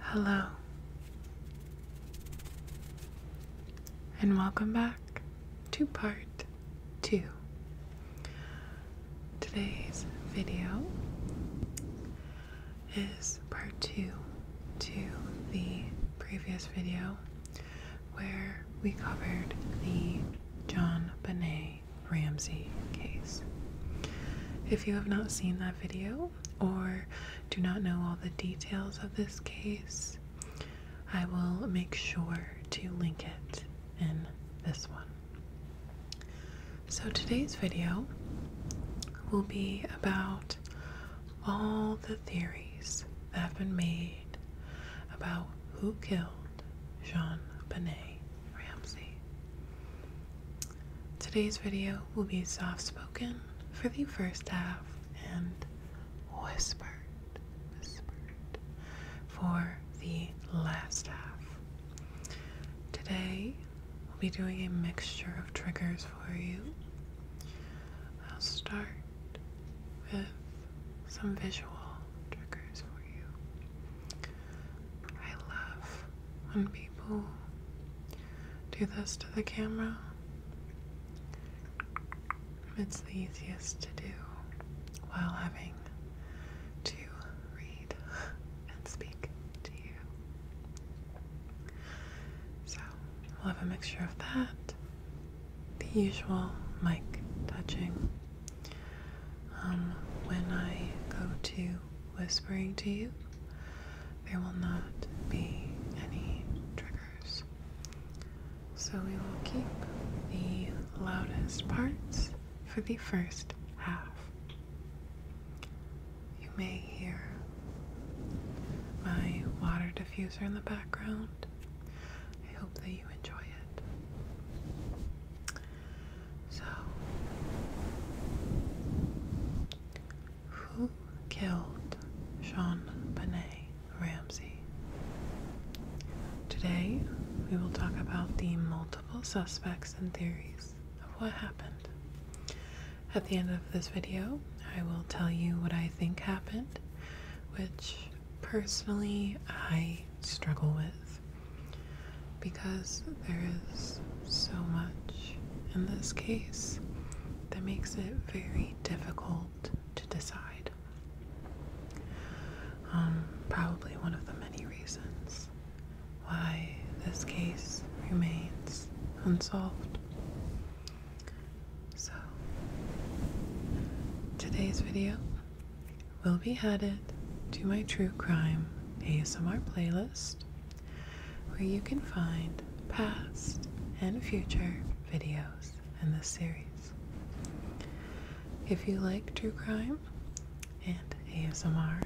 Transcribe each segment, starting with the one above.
Hello, and welcome back to part two. Today's video is part two to the previous video where we covered the John Bonet Ramsey case. If you have not seen that video or do not know all the details of this case, I will make sure to link it in this one. So today's video will be about all the theories that have been made about who killed Jean Benet Ramsey. Today's video will be soft spoken for the first half and whispered, whispered for the last half. Today, we'll be doing a mixture of triggers for you. I'll start with some visual triggers for you. I love when people do this to the camera. It's the easiest to do while having to read and speak to you. So we'll have a mixture of that, the usual mic touching. Um, when I go to whispering to you, there will not be any triggers. So we will keep the loudest parts for the first half. You may hear my water diffuser in the background. I hope that you enjoy it. So, who killed Sean Benet Ramsey? Today, we will talk about the multiple suspects and theories of what happened. At the end of this video, I will tell you what I think happened, which personally I struggle with because there is so much in this case that makes it very difficult to decide. Um, probably one of the many reasons why this case remains unsolved. So, today's video will be headed to my true crime ASMR playlist where you can find past and future videos in this series. If you like true crime and ASMR,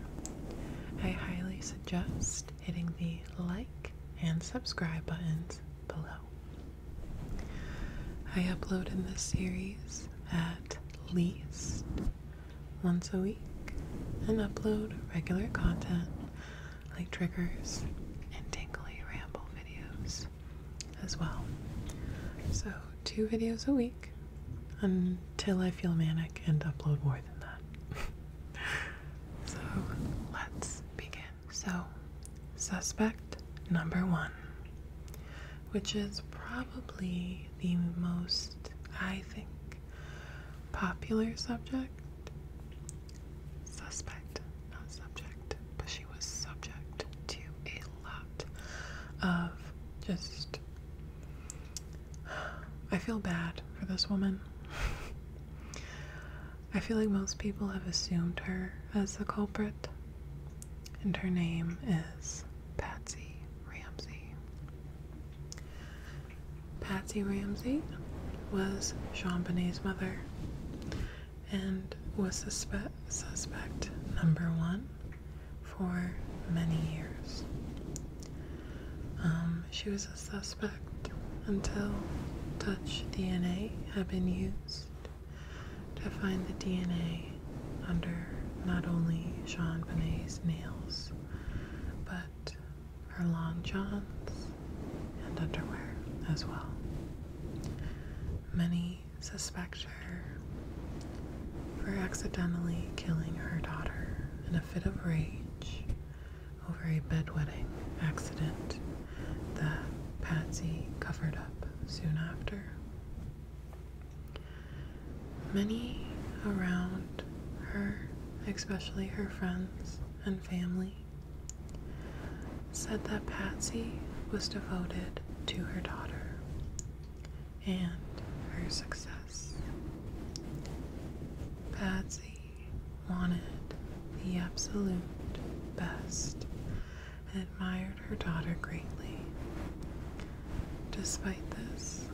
I highly suggest hitting the like and subscribe buttons below. I upload in this series at least once a week and upload regular content like triggers and tinkly ramble videos as well. So, two videos a week until I feel manic and upload more than that. so, let's begin. So, suspect number one, which is probably the most, I think, Popular subject? Suspect, not subject. But she was subject to a lot of just. I feel bad for this woman. I feel like most people have assumed her as the culprit, and her name is Patsy Ramsey. Patsy Ramsey was Jean Bonnet's mother and was suspe suspect number one for many years. Um, she was a suspect until touch DNA had been used to find the DNA under not only Jean Bonnet's nails, but her long johns and underwear as well. Many suspect her for accidentally killing her daughter in a fit of rage over a bedwetting accident that Patsy covered up soon after. Many around her, especially her friends and family, said that Patsy was devoted to her daughter and her success. Patsy wanted the absolute best and admired her daughter greatly. Despite this,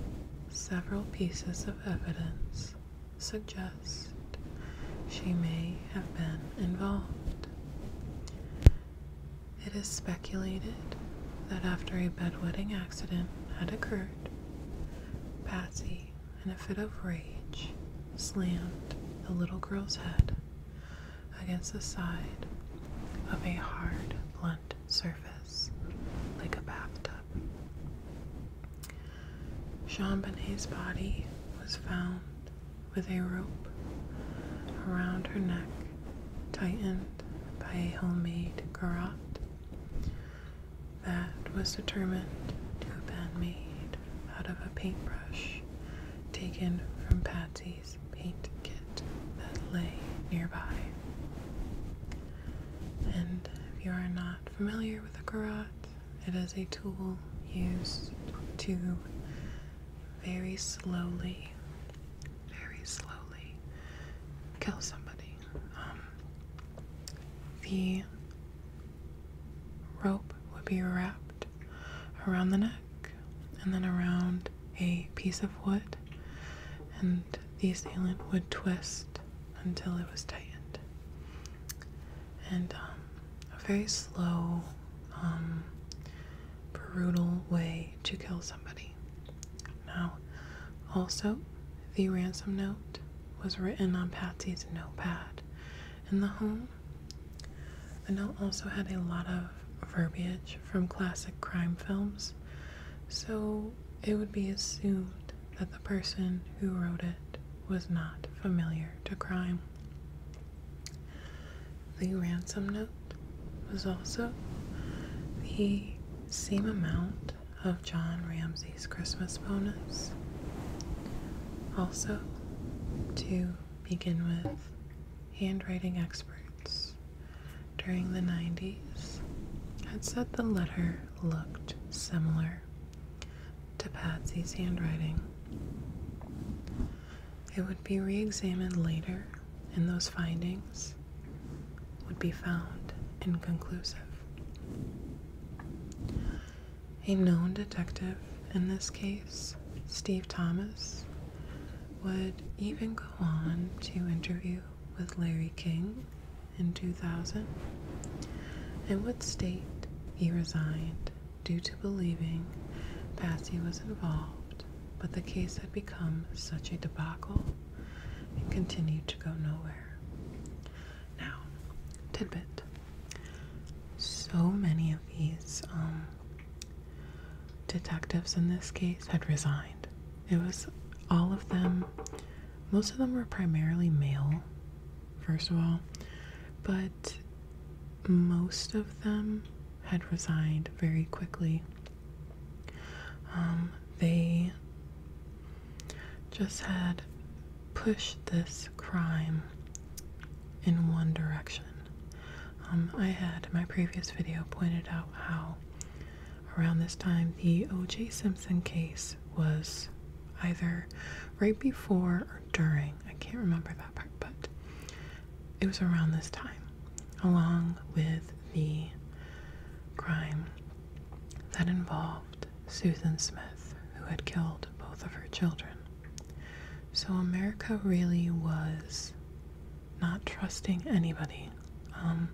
Several pieces of evidence suggest she may have been involved. It is speculated that after a bedwetting accident had occurred, Patsy, in a fit of rage, slammed the little girl's head against the side of a hard, blunt surface like a bathtub. Chambonet's body was found with a rope around her neck tightened by a homemade garrote that was determined to have been made out of a paintbrush taken from Patsy's paint kit that lay nearby. And if you are not familiar with a garrote, it is a tool used to very slowly, very slowly kill somebody. Um, the rope would be wrapped around the neck and then around a piece of wood and the assailant would twist until it was tightened. And um, a very slow, um, brutal way to kill somebody. Now, also, the ransom note was written on Patsy's notepad in the home. The note also had a lot of verbiage from classic crime films, so it would be assumed that the person who wrote it was not familiar to crime. The ransom note was also the same amount of John Ramsey's Christmas bonus. Also, to begin with, handwriting experts during the 90s had said the letter looked similar to Patsy's handwriting. It would be re examined later, and those findings would be found inconclusive. A known detective in this case, Steve Thomas, would even go on to interview with Larry King in 2000, in what state he resigned due to believing Passy was involved, but the case had become such a debacle and continued to go nowhere. Now, tidbit. So many of these um, detectives in this case had resigned. It was all of them most of them were primarily male, first of all, but most of them had resigned very quickly. Um, they just had pushed this crime in one direction. Um, I had in my previous video pointed out how around this time, the O.J. Simpson case was either right before or during. I can't remember that part, but it was around this time, along with the crime that involved Susan Smith, who had killed both of her children. So America really was not trusting anybody. Um,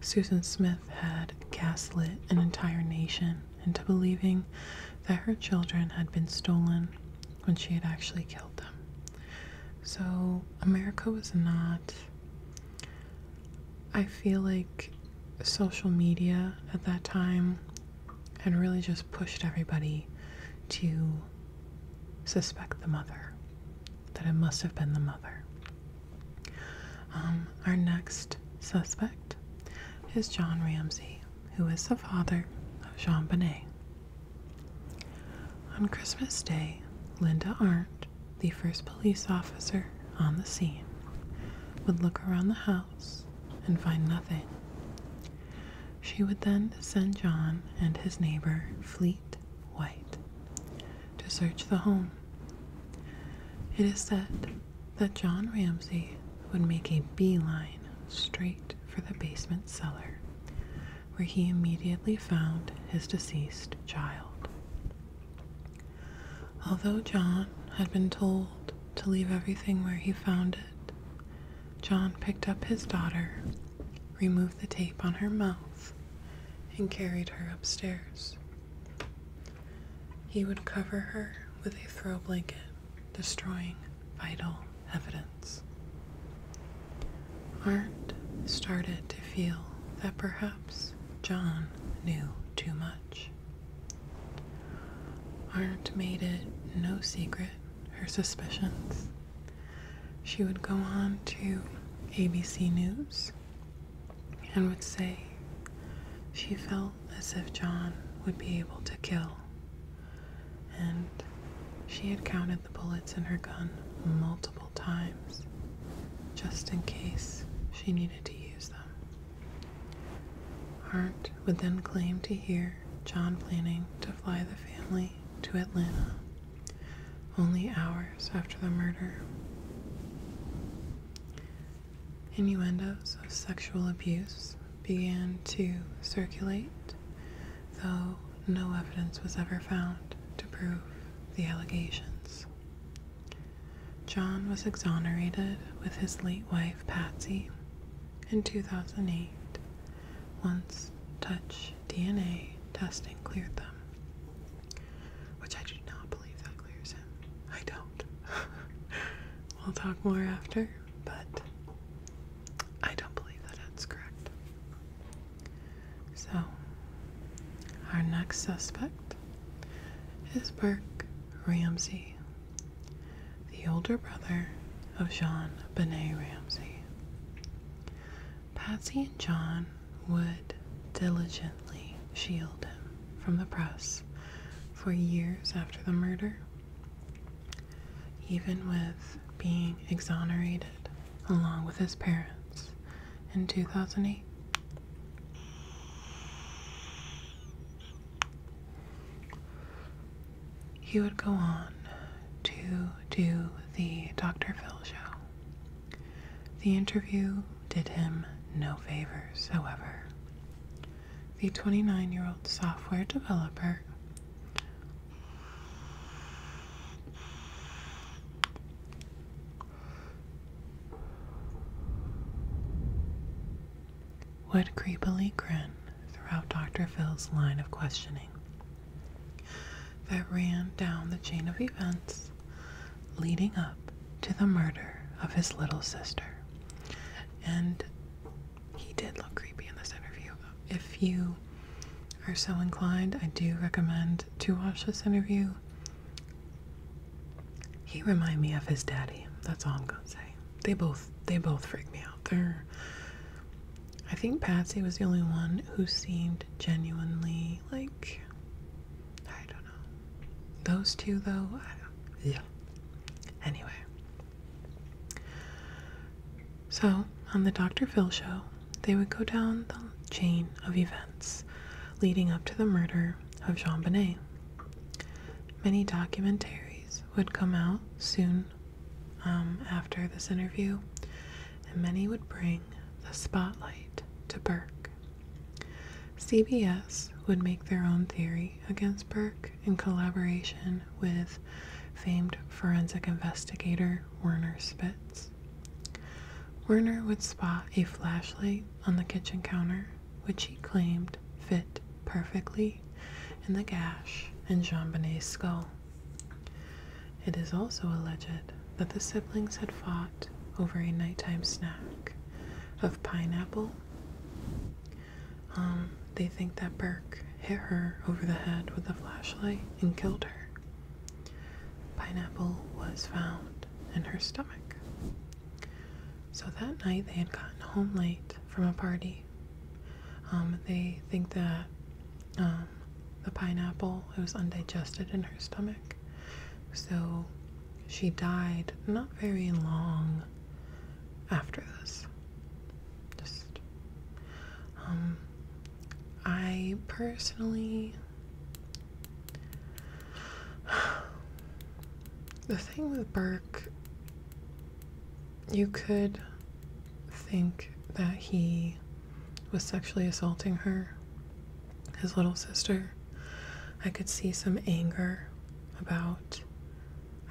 Susan Smith had gaslit an entire nation into believing that her children had been stolen when she had actually killed them. So, America was not. I feel like social media at that time had really just pushed everybody to suspect the mother, that it must have been the mother. Um, our next suspect is John Ramsey, who is the father of Jean Bonnet. On Christmas Day, Linda Arndt, the first police officer on the scene, would look around the house and find nothing. She would then send John and his neighbor, Fleet White, to search the home. It is said that John Ramsey would make a beeline straight for the basement cellar, where he immediately found his deceased child. Although John had been told to leave everything where he found it, John picked up his daughter, removed the tape on her mouth, and carried her upstairs. He would cover her with a throw blanket, destroying vital evidence. Arndt started to feel that perhaps John knew too much. Arndt made it no secret her suspicions. She would go on to ABC News and would say she felt as if John would be able to kill. And she had counted the bullets in her gun multiple times just in case she needed to use them. Hart would then claim to hear John planning to fly the family to Atlanta only hours after the murder. Innuendos of sexual abuse began to circulate, though no evidence was ever found to prove the allegations. John was exonerated with his late wife Patsy in 2008 once touch DNA testing cleared them, which I do not believe that I don't. we'll talk more after, but I don't believe that that's correct. So, our next suspect is Burke Ramsey, the older brother of Jean Benet Ramsey. Patsy and John would diligently shield him from the press for years after the murder. Even with being exonerated along with his parents in 2008. He would go on to do the Dr. Phil show. The interview did him no favors, however the 29 year old software developer, would creepily grin throughout Dr. Phil's line of questioning that ran down the chain of events leading up to the murder of his little sister. And he did look creepy in this interview. If you are so inclined, I do recommend to watch this interview. He remind me of his daddy. That's all I'm gonna say. They both they both freak me out. They're I think Patsy was the only one who seemed genuinely like I don't know. Those two, though, I don't, yeah. Anyway, so on the Dr. Phil show, they would go down the chain of events leading up to the murder of Jean Bonnet. Many documentaries would come out soon um, after this interview, and many would bring the spotlight to Burke. CBS would make their own theory against Burke in collaboration with famed forensic investigator Werner Spitz. Werner would spot a flashlight on the kitchen counter, which he claimed fit perfectly in the gash in Jean Bonnet's skull. It is also alleged that the siblings had fought over a nighttime snack of pineapple um, they think that Burke hit her over the head with a flashlight and killed her. Pineapple was found in her stomach. So that night they had gotten home late from a party. Um, they think that um, the pineapple was undigested in her stomach, so she died not very long after this. Just, um, I personally. The thing with Burke, you could think that he was sexually assaulting her, his little sister. I could see some anger about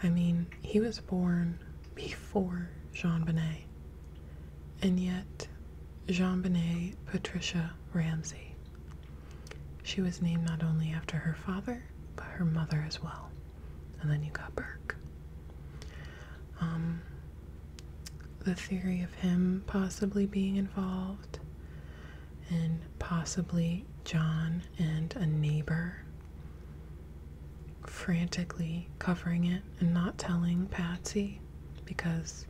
I mean, he was born before Jean Bonnet, and yet Jean Bonnet Patricia Ramsey. She was named not only after her father, but her mother as well. And then you got Burke. Um, the theory of him possibly being involved and possibly John and a neighbor, frantically covering it and not telling Patsy because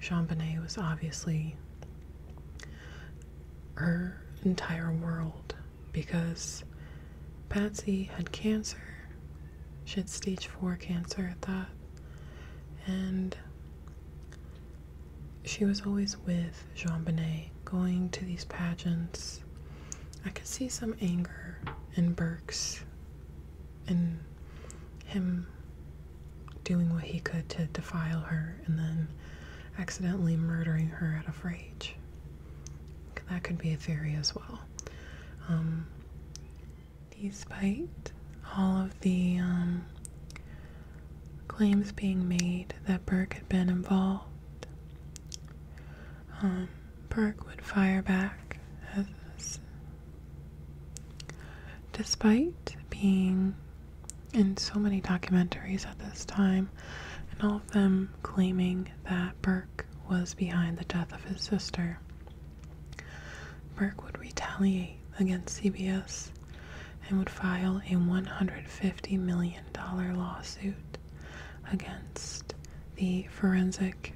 Jean Bonnet was obviously her entire world because Patsy had cancer. She had stage four cancer at that. And she was always with Jean Bonnet, going to these pageants. I could see some anger in Burke's and him doing what he could to defile her and then accidentally murdering her out of rage. That could be a theory as well. Um, despite all of the um, claims being made that Burke had been involved. Um, Burke would fire back despite being in so many documentaries at this time, and all of them claiming that Burke was behind the death of his sister. Burke would retaliate against CBS and would file a $150 million lawsuit against the forensic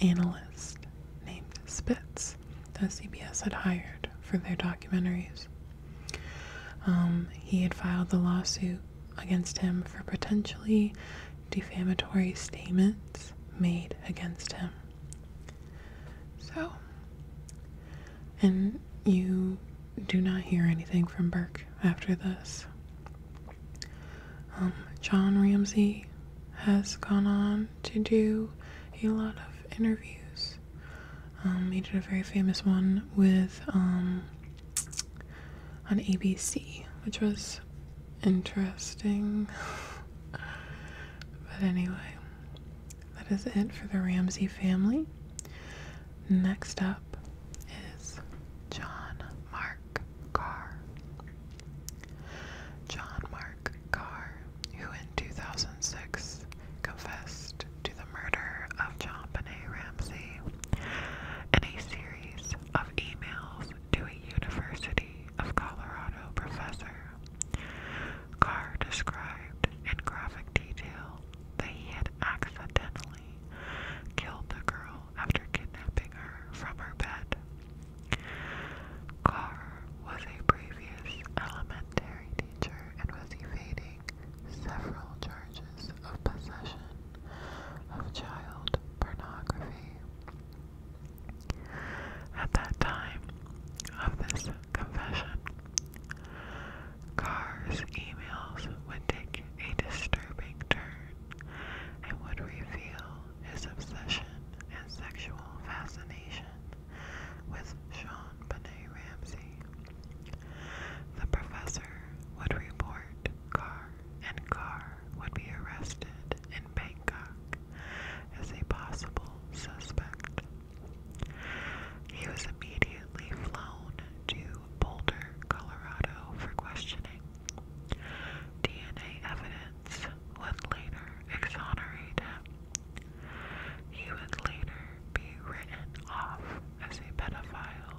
analyst named Spitz that CBS had hired for their documentaries. Um, he had filed the lawsuit against him for potentially defamatory statements made against him. So, and you do not hear anything from Burke after this. Um, John Ramsey has gone on to do a lot of interviews. Um, he did a very famous one with um, on ABC, which was interesting. but anyway, that is it for the Ramsey family. Next up is John Mark Carr. John Mark Carr, who in 2006 confessed to the murder of John Benet Ramsey in a series of emails to a University of Colorado professor. Carr described in graphic detail that he had accidentally killed the girl after kidnapping her from her bed. Carr was a previous elementary teacher and was evading several charges of possession of child pornography. At that time of this confession, Carr's emails would take a disturbing turn and would reveal his obsession and sexual fascination with Sean Benet Ramsey. The professor would report Carr, and Carr would be arrested in Bangkok as a possible suspect. He was immediately subsequently flown to Boulder, Colorado for questioning. DNA evidence would later exonerate him. He would later be written off as a pedophile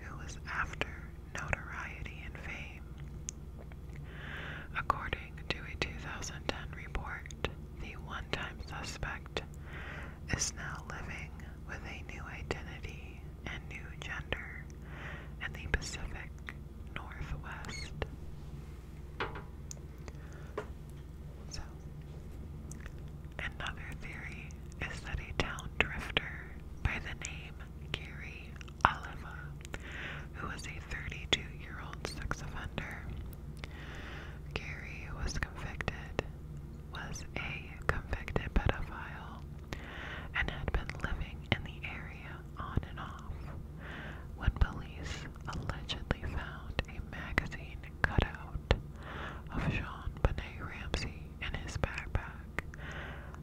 who was after notoriety and fame. According to a 2010 report, the one time suspect is now living with a new identity and new gender in the Pacific Northwest. So, another theory is that a town drifter by the name Gary Oliva, who was a 32 year old sex offender, Gary was convicted was a convicted pedophile and had been living in the area on and off when police allegedly found a magazine cutout of Jean Benet Ramsey in his backpack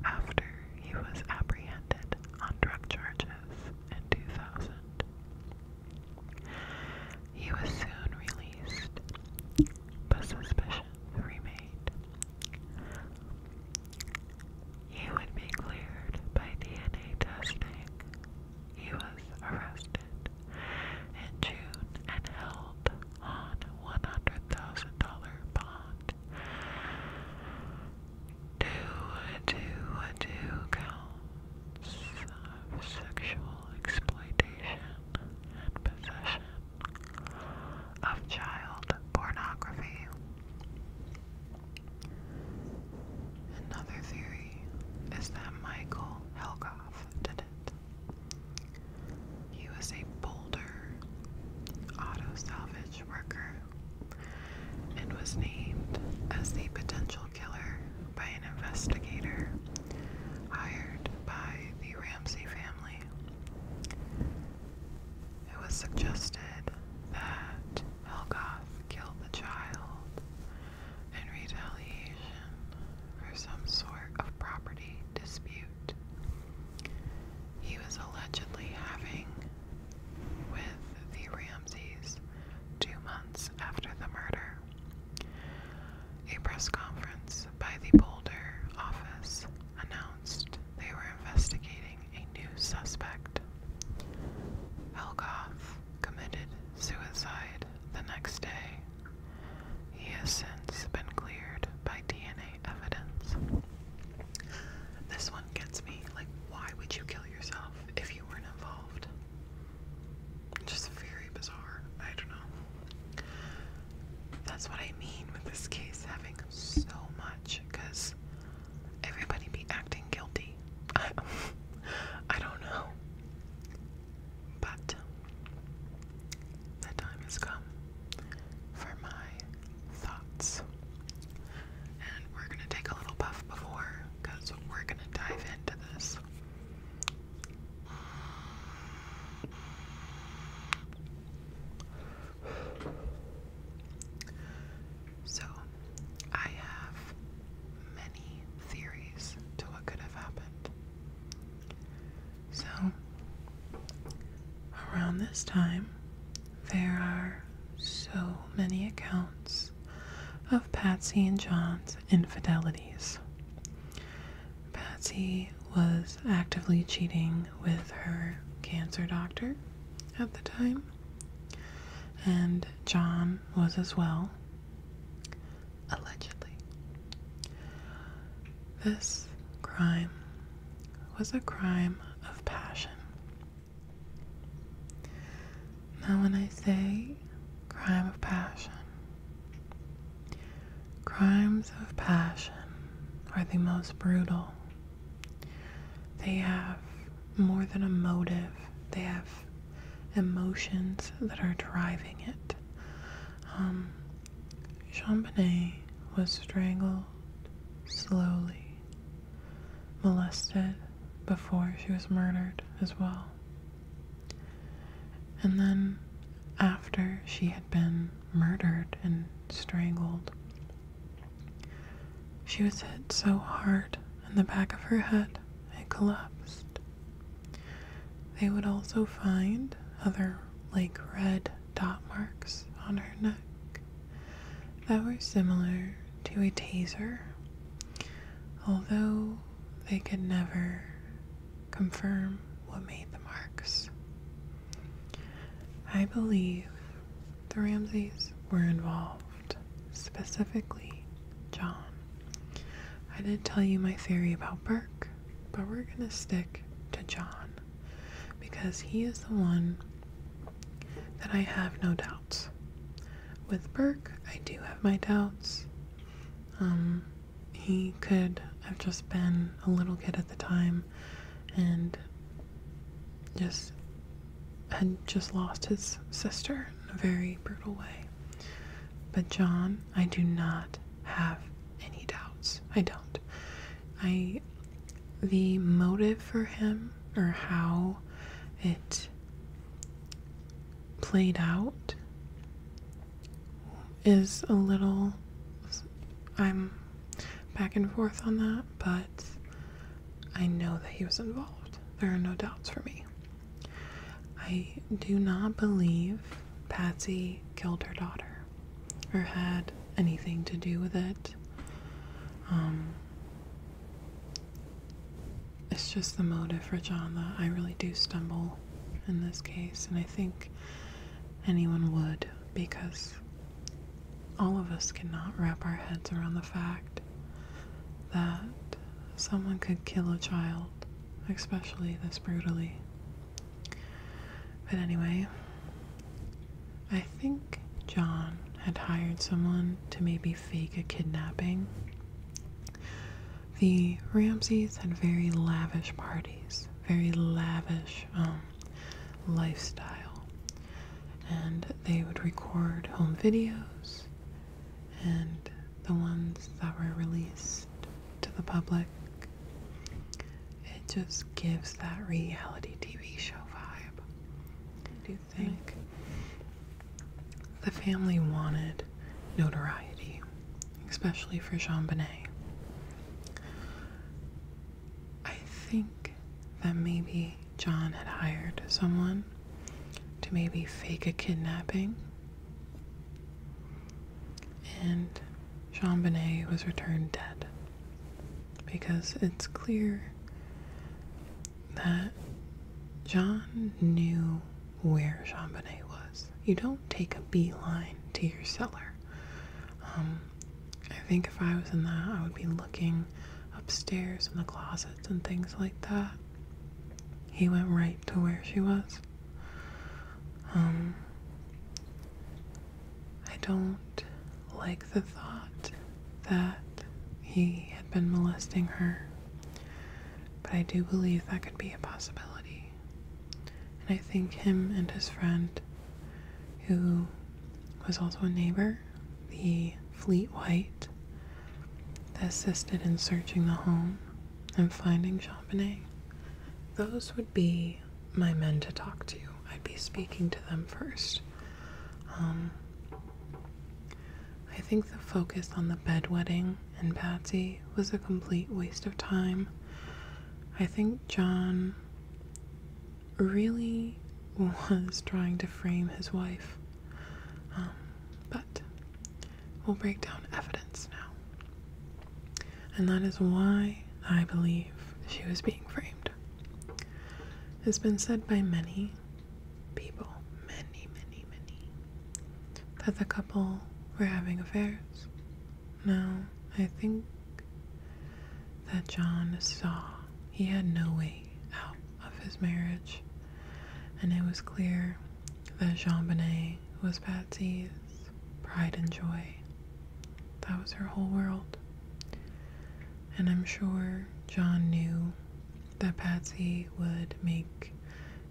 after he was apprehended on drug charges in 2000. He was soon released but suspicion remained. He would be cleared by DNA testing. He was arrested in June and held on $100,000 bond. Two, two, two counts of sexual exploitation possession of child pornography. Another theory is that Michael Helgoff did it. He was a Boulder auto salvage worker and was named as the potential killer by an investigator hired by the Ramsey family. It was suggested that Helgoth killed the child in retaliation for some sort of property dispute he was allegedly having with the Ramses two months after the murder. A press conference by the Boulder office announced they were investigating a new suspect. Helgoff committed suicide the next day. He has since been cleared by DNA evidence. This one gets me. Like, why would you kill yourself if you weren't involved? Just very bizarre. I don't know. That's what I mean with this case having so much because everybody be acting guilty. I, I don't know. But the time has come for my thoughts. And we're going to take a little puff before because we're going to dive into this. So, I have many theories to what could have happened. So, around this time, there are so many accounts of Patsy and John's infidelities. Patsy was actively cheating with her cancer doctor at the time, and John was as well, allegedly. This crime was a crime of passion. Now, when I say crime of passion, Crimes of passion are the most brutal. They have more than a motive, they have emotions that are driving it. Um, Champigny was strangled slowly, molested before she was murdered as well. And then after she had been murdered and strangled. She was hit so hard in the back of her head it collapsed. They would also find other like red dot marks on her neck that were similar to a taser, although they could never confirm what made the marks. I believe the Ramses were involved, specifically John. I did tell you my theory about Burke, but we're going to stick to John because he is the one that I have no doubts. With Burke, I do have my doubts. Um, he could have just been a little kid at the time and just had just lost his sister in a very brutal way. But John, I do not have any doubts. I don't. I the motive for him or how it played out is a little. I'm back and forth on that, but I know that he was involved. There are no doubts for me. I do not believe Patsy killed her daughter or had anything to do with it. Um, it's just the motive for John that I really do stumble in this case, and I think anyone would because all of us cannot wrap our heads around the fact that someone could kill a child, especially this brutally. But anyway, I think John had hired someone to maybe fake a kidnapping. The Ramses had very lavish parties very lavish um, lifestyle. And they would record home videos, and the ones that were released to the public. It just gives that reality TV show vibe. Do you think the family wanted notoriety especially for Jean Bonnet. I think that maybe John had hired someone to maybe fake a kidnapping, and Jean Bonnet was returned dead because it's clear that John knew where Jean Bonnet was. You don't take a beeline to your cellar. Um, I think if I was in that, I would be looking upstairs in the closets and things like that. He went right to where she was. Um, I don't like the thought that he had been molesting her, but I do believe that could be a possibility. And I think him and his friend, who was also a neighbor, the Fleet White, assisted in searching the home and finding Champagne. Those would be my men to talk to. I'd be speaking to them first. Um, I think the focus on the bedwetting and Patsy was a complete waste of time. I think John really was trying to frame his wife. Um, but we'll break down evidence now. And that is why I believe she was being framed. It's been said by many people, many, many, many, that the couple were having affairs. Now, I think that John saw he had no way out of his marriage, and it was clear that Jean Bonnet was Patsy's pride and joy. That was her whole world. And I'm sure John knew that Patsy would make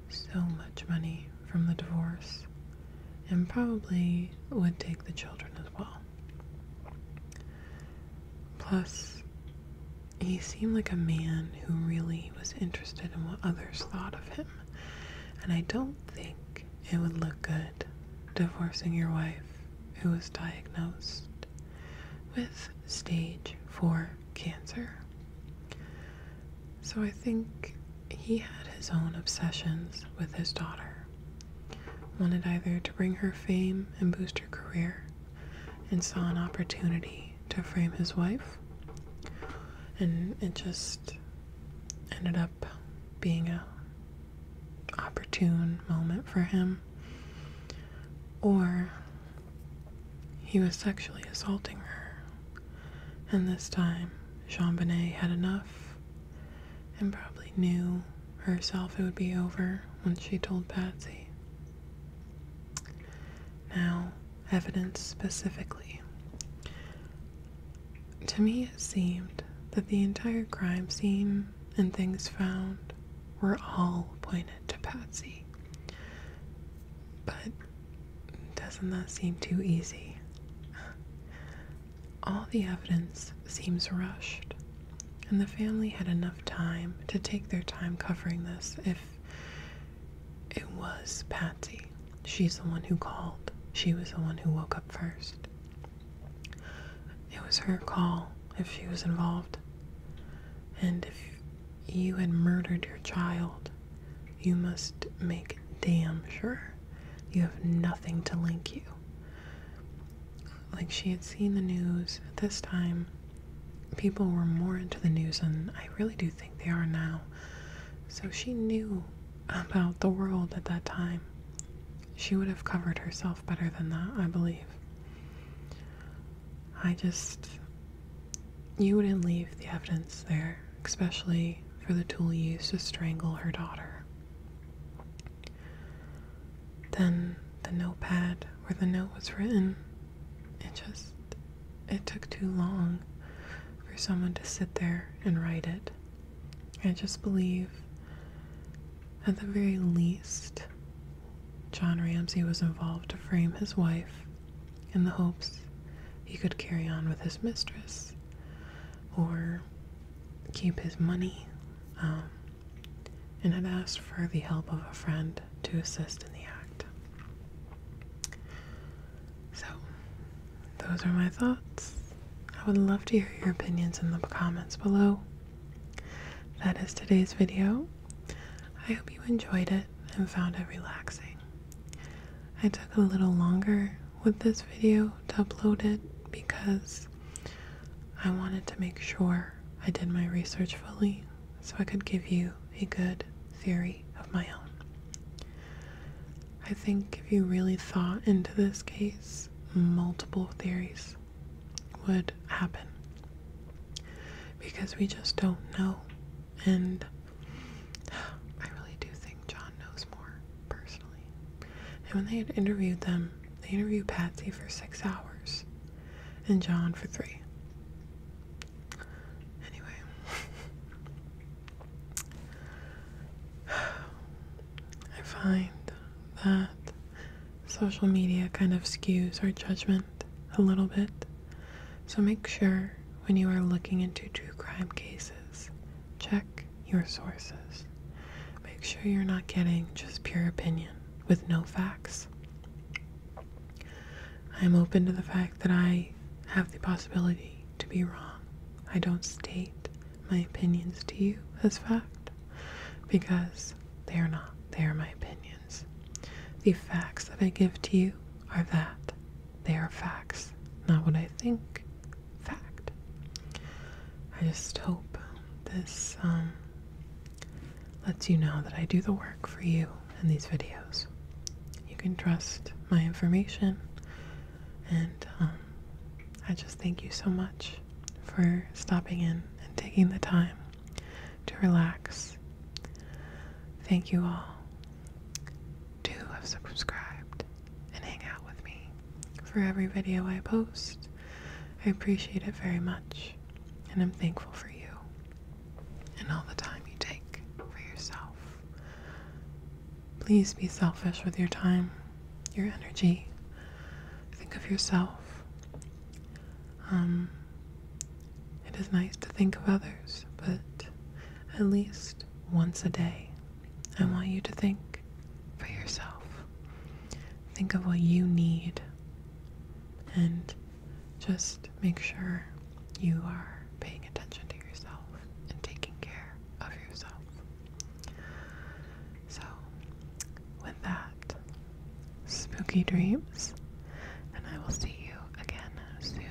so much money from the divorce and probably would take the children as well. Plus, he seemed like a man who really was interested in what others thought of him, and I don't think it would look good divorcing your wife who was diagnosed with stage 4 cancer. So I think he had his own obsessions with his daughter wanted either to bring her fame and boost her career, and saw an opportunity to frame his wife. And it just ended up being a opportune moment for him. Or he was sexually assaulting her. And this time, Jean Bonnet had enough and probably knew herself it would be over once she told Patsy. Now, evidence specifically. To me, it seemed that the entire crime scene and things found were all pointed to Patsy. But doesn't that seem too easy? All the evidence seems rushed, and the family had enough time to take their time covering this if it was Patsy. She's the one who called. She was the one who woke up first. It was her call if she was involved. And if you had murdered your child, you must make damn sure you have nothing to link you. Like she had seen the news at this time. People were more into the news and I really do think they are now. So she knew about the world at that time. She would have covered herself better than that, I believe. I just. You wouldn't leave the evidence there, especially for the tool used to strangle her daughter. Then the notepad where the note was written, it just, it took too long for someone to sit there and write it. I just believe, at the very least, John Ramsay was involved to frame his wife in the hopes he could carry on with his mistress, or keep his money, um, and had asked for the help of a friend to assist in the act. So, those are my thoughts. I would love to hear your opinions in the comments below. That is today's video. I hope you enjoyed it and found it relaxing. I took a little longer with this video to upload it because I wanted to make sure I did my research fully so I could give you a good theory of my own. I think if you really thought into this case, multiple theories would happen because we just don't know. And I really do think John knows more personally. And when they had interviewed them, they interviewed Patsy for six hours and John for three. Anyway, I find that social media kind of skews our judgment a little bit. So make sure when you are looking into true crime cases Check your sources. Make sure you're not getting just pure opinion with no facts. I am open to the fact that I have the possibility to be wrong. I don't state my opinions to you as fact because they are not. They are my opinions. The facts that I give to you are that. They are facts, not what I think, fact. I just hope this um, lets you know that I do the work for you in these videos. You can trust my information, and um, I just thank you so much for stopping in and taking the time to relax. Thank you all to have subscribed and hang out with me for every video I post. I appreciate it very much, and I'm thankful for you and all the time you take for yourself. Please be selfish with your time, your energy. Think of yourself. Um, it is nice to think of others, but at least once a day, I want you to think for yourself. Think of what you need and just make sure you are paying attention to yourself and taking care of yourself. So, with that, spooky dreams, and I will see you again soon.